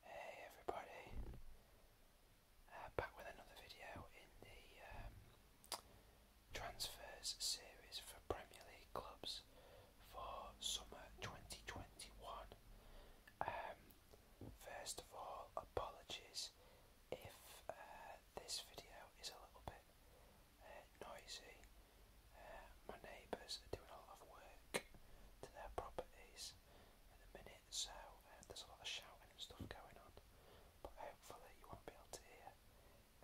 Hey everybody, uh, back with another video in the um, transfers series for Premier League clubs for summer 2021. Um, first of all, apologies if uh, this video is a little bit uh, noisy. Uh, my neighbours are doing a lot of work to their properties in the minute, so uh, there's a lot of shouting and stuff going on. But hopefully, you won't be able to hear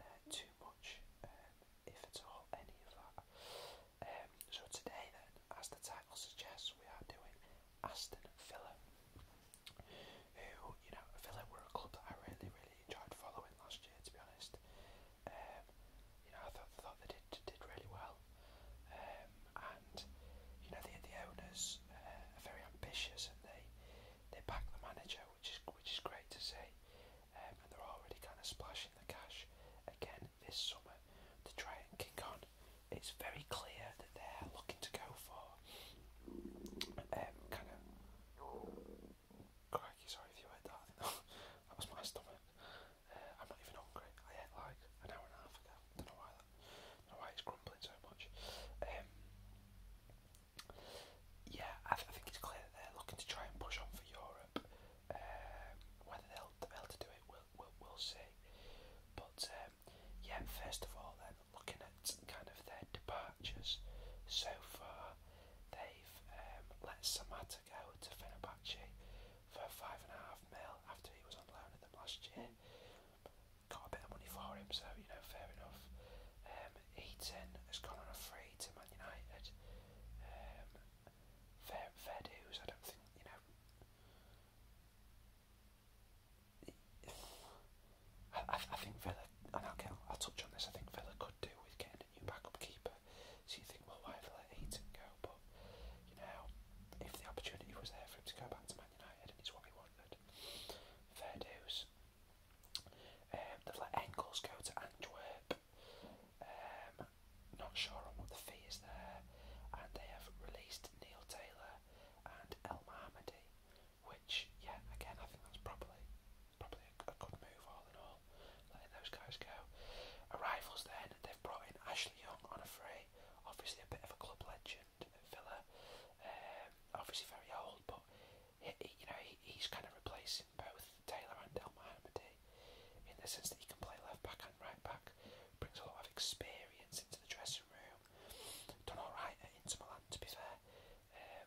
uh, too much, um, if at all, any of that. Um, so, today, then, as the title suggests, we are doing Aston Villa, who, you know, Villa were a club that I really, really enjoyed following last year, to be honest. Um, you know, I thought, thought they did did did really well, um, and you know the the owners uh, are very ambitious and they they back the manager, which is which is great to see, um, and they're already kind of splashing the cash again this summer to try and kick on. It's very clear that they're looking to go for um, kind of. Crikey, sorry if you heard that. that was my stomach. I'm not even hungry. I ate like an hour and a half ago. Don't know why that. Don't know why it's crumbling so much. Um, yeah, I, think it's clear that they're looking to try and push on for Europe. Um, whether they'll be able to do it, we'll we'll, see. But um, yeah, first of all, then looking at kind of their departures so far, they've um, let Samata go to Fenerbahce for five and a half mil after he was on loan at them last year. Got a bit of money for him, so you know, fair enough. Um, has gone on a free to Man United. Um, fair, I don't think you know. I, I, think Villa, and I'll, I'll touch on this. I think Villa could do with getting a new backup keeper goalkeeper, so you think, well, why did they let Eaton go? But you know, if the opportunity was there for him to go back to Man United and it's what he wanted, fair dues. Um, they've let Engels go to Antwerp. Um, not sure on what the fee is there, and they have released Neil Taylor and El Mahmadi, which, yeah, again, I think that's probably probably a, a good move all in all letting those guys go. Arrivals then, they've brought in Ashley Young on a free, obviously a bit of a club legend at Villa, um, obviously very old, but he, he, you know he, he's kind of replacing both Taylor and Del Mahmoudi in the sense that he can play left back and right back, brings a lot of experience into the dressing room, done alright at Inter Milan to be fair, um,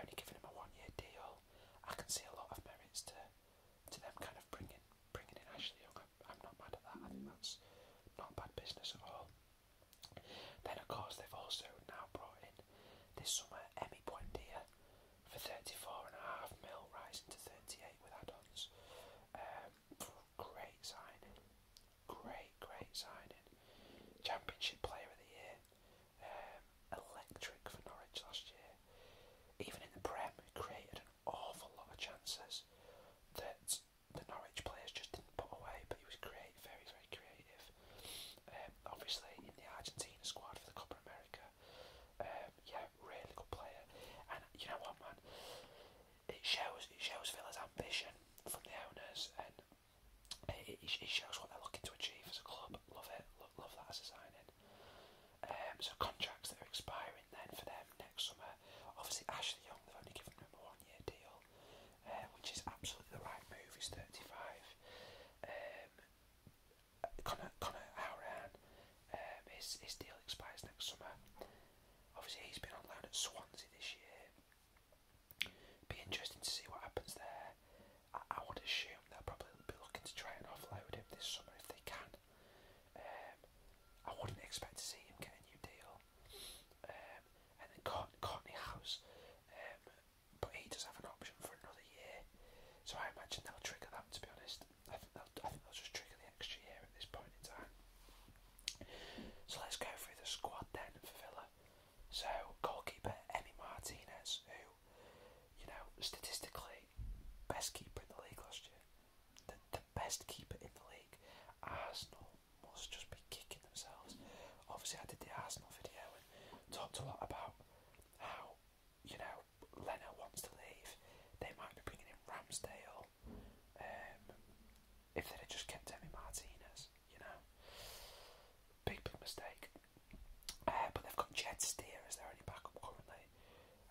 only giving him a one year deal. I can see a lot of merits to to them kind of bringing bringing in Ashley Young. I'm, not mad at that. I think mm. that's not bad business at all. Then, of course, they've also now brought in this summer Emmy Buendia for 34 mil, rising to 38 with add-ons. Um, great signing, great, great signing. Championship Player of the Year, um, electric for Norwich last year. Even in the Prem, created awful lot of chances that the Norwich players just didn't put away, but he was great, very, very creative. Um, obviously, in the Argentina squad for the Copa America, um, yeah, really good player. And you know what, man, it shows it shows Villa's ambition from the owners, and it, it, it shows what they're looking to achieve as a club. Love it, love, love that as a signing. Um, so contracts that are expiring then for them next summer. Obviously Ashley Young, they've only given him a one-year deal, uh, which is absolutely the right move. He's 35. Um, Connor, Connor Howran, um, his, his deal expires next summer. Obviously he's been on loan at Swansea this year. Be interesting to see what happens there. I, I would assume they'll probably be looking to try and offload him this summer if they can. Um, I wouldn't expect to see him get a new deal. Um, and then Courtney, House, um, but he does have an option for another year, so I imagine they'll trigger that. To be honest, I think they'll, just trigger the extra year at this point in time. So let's go through the squad then for Villa. So goalkeeper Emmy Martinez, who you know statistically like best keeper in the league last year. The, the best keeper in the league. Arsenal must just be kicking themselves. Obviously, I did the Arsenal video and talked a lot about how, you know, Leno wants to leave. They might be bringing in Ramsdale. Um, if they'd have just kept Emi Martinez, you know. Big, big mistake. Uh, but they've got Jed Steer as their only backup currently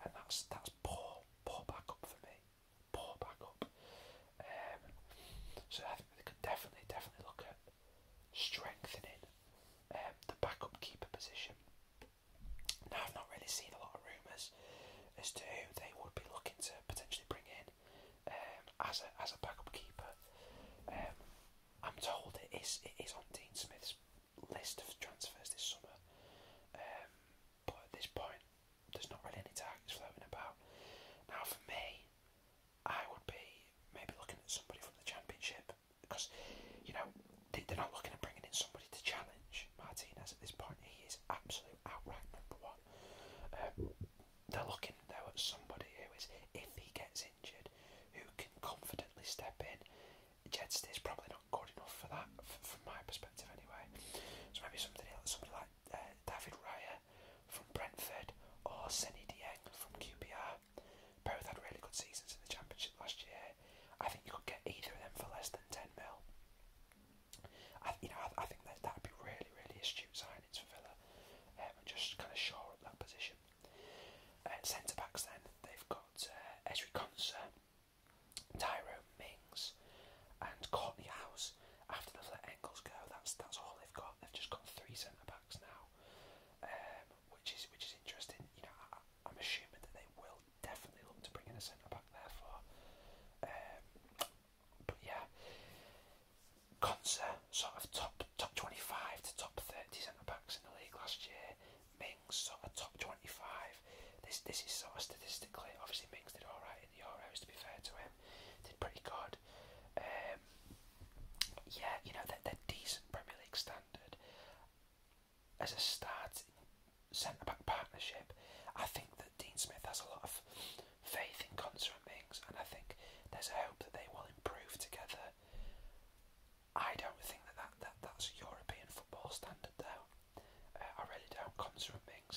and that's that's poor, poor backup for me. Poor backup. Um, so I think we could definitely, definitely look at strengthening um, the backup keeper position. Now I've not really seen a lot of rumours as to who they would be looking to potentially bring in um, as a as a backup keeper. Um, I'm told it is it is on Dean Smith's list of transfers this summer, um, but at this point, there's not really any targets floating about. Now, for me, I would be maybe looking at somebody from the Championship because you know they're not looking at bringing in somebody to challenge Martinez at this point. He is absolute outright number one. Um, they're looking though at somebody who is, if he gets injured, who can confidently step in Jetstay is probably not good enough for that, from my perspective anyway. So maybe something else, somebody like uh, David Raya from Brentford or Senny Dieng from QPR. Both had really good seasons in the Championship last year. I think you could get either of them for less than 10 mil. I, you know, I, think that that'd be really, really astute signings for Villa, um, and just kind of shore up that position. Uh, Centre backs, then they've got Esri uh, Ezri Tyrone Mings and Courtney House. After they've let Engels go, that's that's all they've got. They've just got three centre backs now, um, which is which is interesting. You know, I, am assuming that they will definitely look to bring in a centre back there for. Um, but yeah, Conser sort of top top 25 to top 30 centre backs in the league last year. Mings sort of top 25. This this is sort of statistically, obviously Mings did alright in the Euros to be fair to him, did pretty good. Um, yeah, you know, they're, they're decent Premier League standard. As a starting centre back partnership, I think that Dean Smith has a lot of faith in Conser and Mings, and I think there's a hope that they will improve together. I don't think that, that, that that's European football standard though. Uh, I really don't. Conser and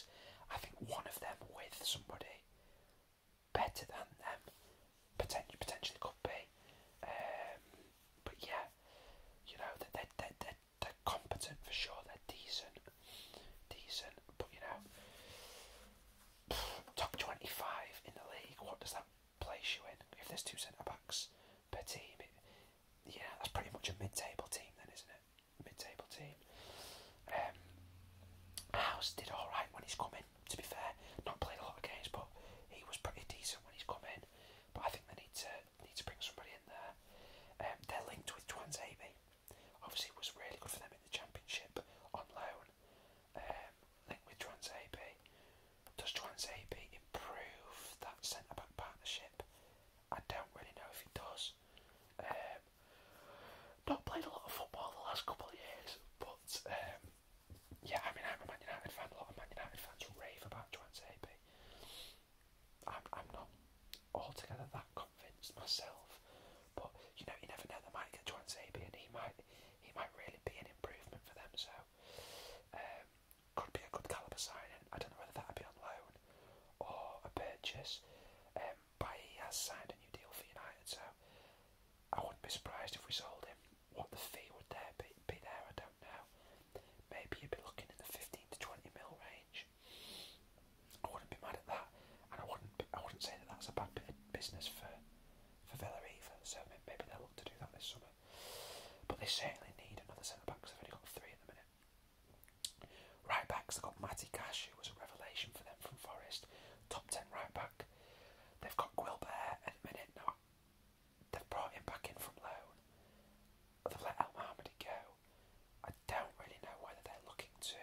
I think one of them with somebody better than them potentially potentially could be. Um, but yeah, you know that they they they they're competent for sure. They're decent, decent. But you know, top twenty five in the league. What does that place you in. If there's two centre backs per team, yeah, that's pretty much a mid-table team then, isn't it? Mid-table team. Um, House did all right when he's come in. To be fair, not played a lot of games, but he was pretty decent when he's come in. But I think they need to need to bring somebody in there. Um, they're linked with Twans AB. Obviously, it was really good for them in the championship on loan. Um, linked with Twans AB. Does Joan Zabi improve that centre back partnership? I don't really know if he does. Um, not played a lot of football the last couple of years, but um, yeah, I mean, I'm a Man United fan. A lot of Man United fans rave about Joan Zabi. I'm, I'm not altogether that convinced myself, but you know, you never know. They might get Joan Zabi, and he might he might really be an improvement for them. So. Um, could be a good caliber signing. I don't know whether that'd be on loan or a purchase. Um, but he has signed a new deal for United, so I wouldn't be surprised if we sold him. What the fee would there be, be there? I don't know. Maybe you'd be looking in the fifteen to twenty mil range. I wouldn't be mad at that, and I wouldn't. I wouldn't say that that's a bad business for for Villa either. So maybe they'll look to do that this summer. But they certainly need another centre back because they've only got three at the minute. Right backs, they've got Matty Cash, who was a revelation for them from Forest, top 10 right back. They've got Guilbert at the minute. Now, they've brought him back in from loan. They've let El Mohamedi go. I don't really know whether they're looking to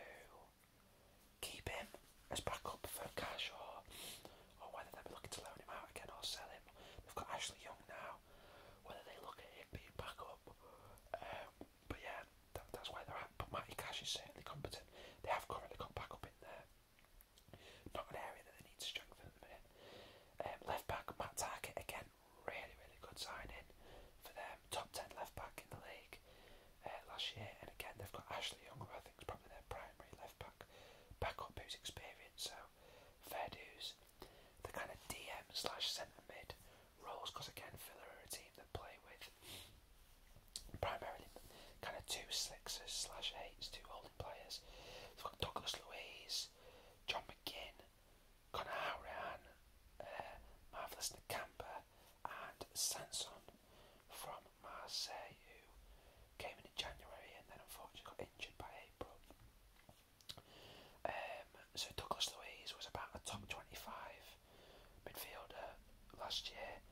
keep him as backup for Cash or or oh, whether they'll be looking to loan him out again or sell him. They've got Ashley Young now. Whether they look at him being back up, um, but yeah, that, that's where they're at. But Matty Cash is certainly competent. They have currently got back up in there. Not an area that they need to strengthen at the minute. Um, left back Matt Target again, really really good signing for them. Top ten left back in the league uh, last year, and again they've got Ashley Young, who I think is probably their primary left back, back up who's experienced. So fair dues. The kind of DM slash centre mid roles, because again, filler are a team that play with primarily kind of two two sixes slash eights, two holding players. They've got Douglas Louise, John McGinn, Conor Howran, uh, Marvellous Nakampa, and Sanson from Marseille, Came in in January and then unfortunately got injured by April. Um, so Douglas Louise was about a top 25 midfielder last year.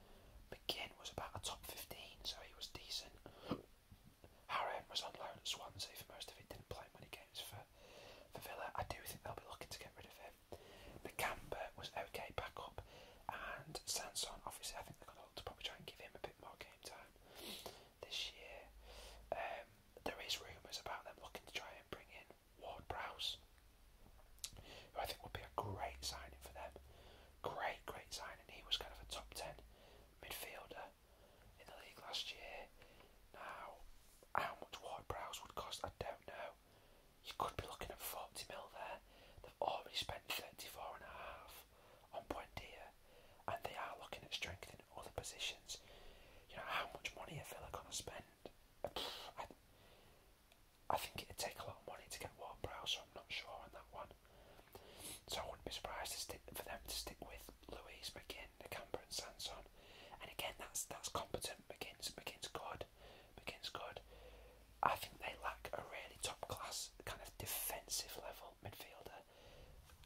McGinn was about a top 15, so he was decent. Harren was on loan at Swansea for most of it, didn't play many games for, for Villa. I do think they'll be looking to get rid of him. McCamber was okay back up, and Sanson, obviously, I think they're going to look to probably try and give him a bit more game time this year. Um, there is rumours about them looking to try and bring in Ward Prowse, who I think would be a great signing for them. Great, great signing. He was kind of a top ten midfielder in the league last year. Now, how much Ward Prowse would cost, I don't know. You could be looking at 40 mil there. They've already spent 34 and a half on Buendia, and they are looking at strengthening other positions. You know, how much money are Villa going to spend? I, I think it'd take a lot of money to get Ward Prowse, so I'm not sure on that one. So I wouldn't be surprised to stick, for them to stick with Louise, McGinn, Nakamba, and Sanson. And again, that's that's competent. McGinn's McGinn's good. McGinn's good. I think they lack a really top class kind of defensive level wonderful midfielder.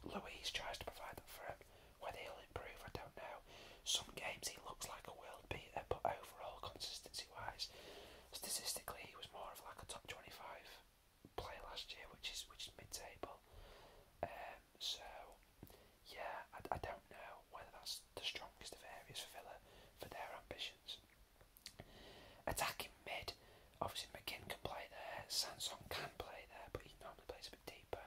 Louise tries to provide that for him. Whether he'll improve, I don't know. Some games he looks like a world beater, but overall, consistency-wise, statistically, he was more of like a top 25 player last year, which is which is mid-table. Um, so, yeah, I, I don't know whether that's the strongest of areas for Villa for their ambitions. Attacking mid, obviously McGinn can play there, Sanson can play there, but he normally plays a bit deeper,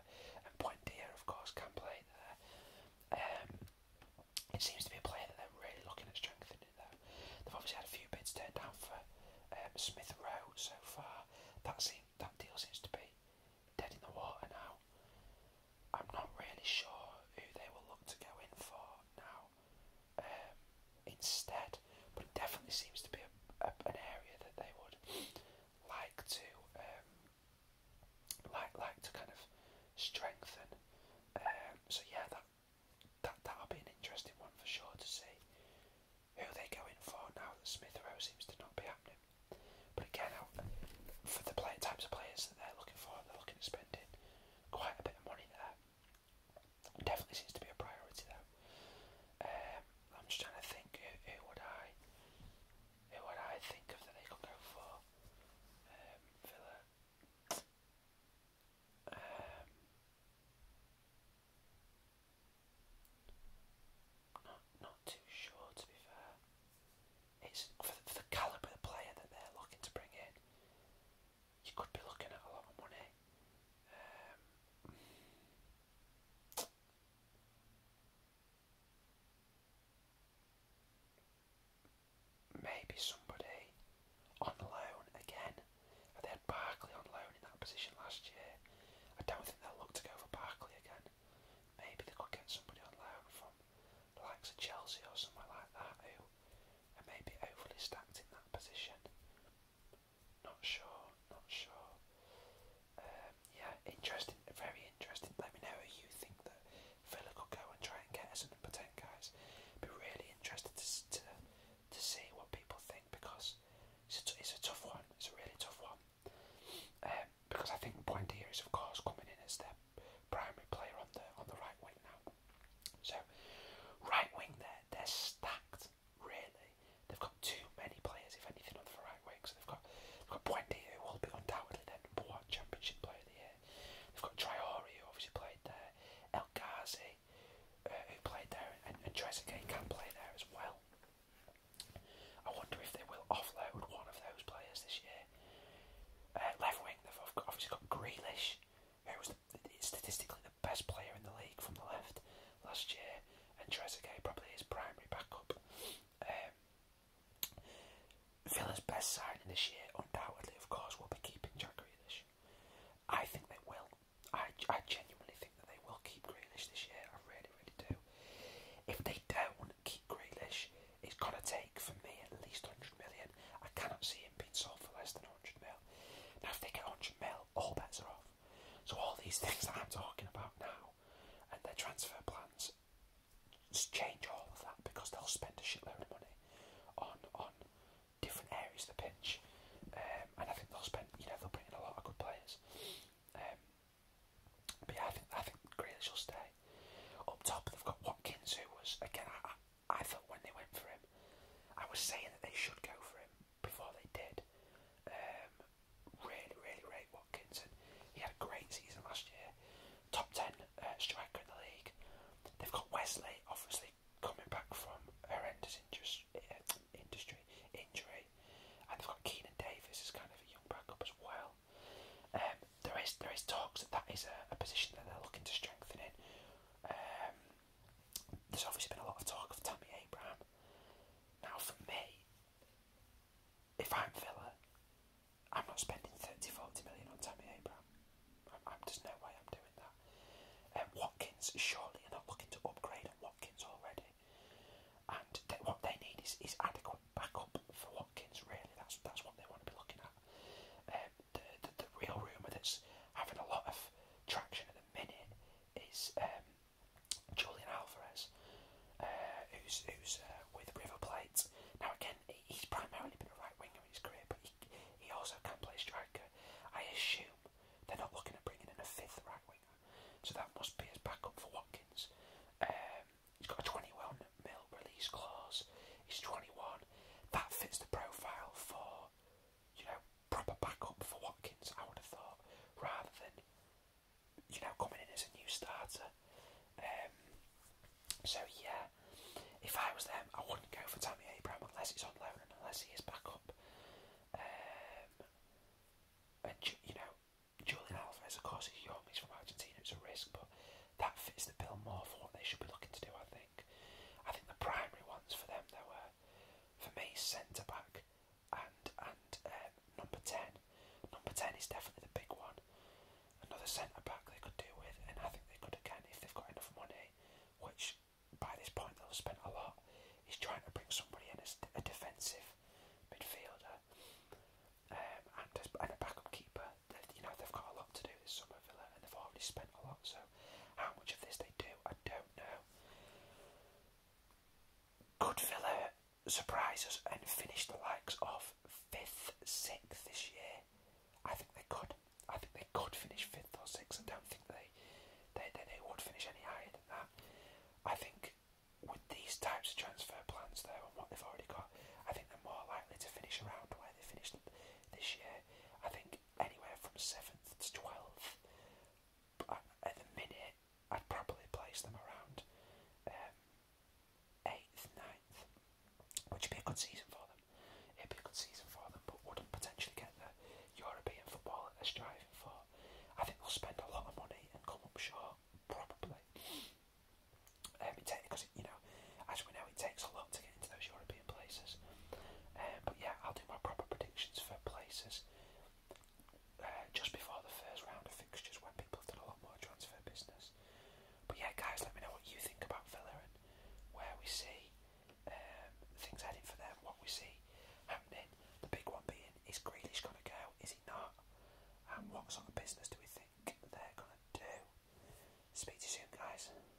and Buendia, of course, can play there. Um, it seems to be a player that they're really looking at strengthening, though. They've obviously had a few bids turned down for um, Smith Rowe so far. That seems, that deal seems to be dead in the water now. I'm not really sure who they will look to go in for now. Um, instead. But it definitely seems to be a, an area that they would like to um, like like to kind of strengthen. Um, so yeah, that that that'll be an interesting one for sure to see who they go in for now that Smith Rowe seems to not be happening. But again, for the play, types of players that they're looking for, they're looking at spending quite a bit of money there. Definitely seems to be a priority though. Um, I'm just trying to think who, who would I who would I think of that they could go for? Um, um, not not too sure to be fair. It's for for the calibre of player that they're looking to bring in you could be looking at a lot of money. Um, maybe somebody on loan again. They had Barkley on loan in that position last year. I don't think they'll look to go for Barkley again. Maybe they could get somebody on loan from the likes of Chelsea or somewhere like that who are maybe overly stacked in that position. Not sure, not sure. Um, yeah, interesting, very interesting. Let me know who you think that Villa could go and try and get as a number 10, guys. Be really interested to, to, to see what people think because it's a, it's a tough one, it's a really tough one. Um, because I think Blendier is of course coming in as their primary player on the on the right wing now. So right wing there they're, they're stacked, really. They've got too many players, if anything, on the right wing. So they've got, they've got Buendi, who will be undoubtedly their number one championship player of the year. They've got Traore, who obviously played there. El Ghazi, uh, who played there. And, and Trezeguet can play there as well. I wonder if they will offload one of those players this year. Uh, left wing, they've obviously got Grealish, who was statistically the best player in the league from the left last year, and Trezeguet probably his primary backup. Um, Villa's best signing this year, undoubtedly, of course, will be keeping Jack Grealish. I think they will. I, I genuinely think that they will keep Grealish this year. I really, really do. If they don't keep Grealish, it's gonna take for me at least 100 million. I cannot see him being sold for less than 100 mil. Now, if they get 100 mil, all bets are off. So, all these things that I'm talking about now and their transfer plans just change all of that because they'll spend a shitload of money on on different areas of the pitch. Um, and I think they'll spend, you know, they'll bring in a lot of good players. Um, but yeah, I think I think Grealish will stay. Up top, they've got Watkins, who was again. I thought when they went for him, I was saying that they should go for him before they did. Um, really, really rate Watkins, he had a great season last year. Top ten uh, striker in the league. They've got Wesley, obviously coming back from horrendous uh, industry, injury, and they've got Keenan Davis is kind of a young backup as well. Um, there is there is talks that that is a, a position that they're looking to strengthen in. Um, there's obviously been a lot of talk of Tammy Abraham. Now, for me, if I'm Villa, I'm not spending 30, 40 million on Tammy Abraham. I'm, I'm, there's no way I'm doing that. Um, Watkins, surely are not looking to upgrade Watkins already. And what they need is, is adequate backup for Watkins, really. That's that's what they want to be looking at the, the, the real rumour that's having a lot of traction at the minute is um, Julian Alvarez, uh, who's, who's uh, with River Plate. Now, again, he's primarily been a right winger in his career, but he, he also can play striker. I assume they're not looking at bringing in a fifth right winger, so that must be his backup for Watkins. Um, he's got a 21 mil release clause, he's 21. That fits the profile for you know, proper backup for Watkins, I would have thought, rather than, you know, coming in as a new starter. Um, so, yeah, if I was them, I wouldn't go for Tammy Abraham unless he's on loan and unless he is backup. Um, and, you know, Julian Alvarez, of course, he's young, he's from Argentina, it's a risk, but that fits the bill more for what they should be looking to do, I think think. I think the primary ones for them there were, for me, centre back and and um, number ten. Number ten is definitely the big one. Another centre back they could do with, and I think they could again if they've got enough money, which by this point they'll have spent a lot. He's trying to bring somebody in as a defensive midfielder um, and, a, and a backup keeper. They've, you know they've got a lot to do this summer, Villa, and they've already spent a lot. So how much of this they do, I don't know. Could Villa surprise us and finish the likes of fifth, sixth this year? I think they could. I think they could finish fifth or sixth. I don't think they they, they, they would finish any higher than that. I think with these types of transfer plans though and what they've already got, I think they're more likely to finish around where they finished this year. I think anywhere from 7th to 12th. at the minute, I'd probably place them around 8th, um, 9th, would be a good season for them. It'd be a good season for them, but wouldn't potentially get the European football that striving for. I think they'll spend a lot of money and come up short, probably. Because, um, you know, as we know, it takes a lot to get into those European places. Um, but yeah, I'll do my proper predictions for places uh, just before the first round of fixtures when people have a lot more transfer business. But yeah, guys, let me know what you think about Villa and where we see um, things heading for them, what we see happening. The big one being, is Grealish going to go? Is he not? And what sort of business do we think they're going to do? Speak to you soon, guys.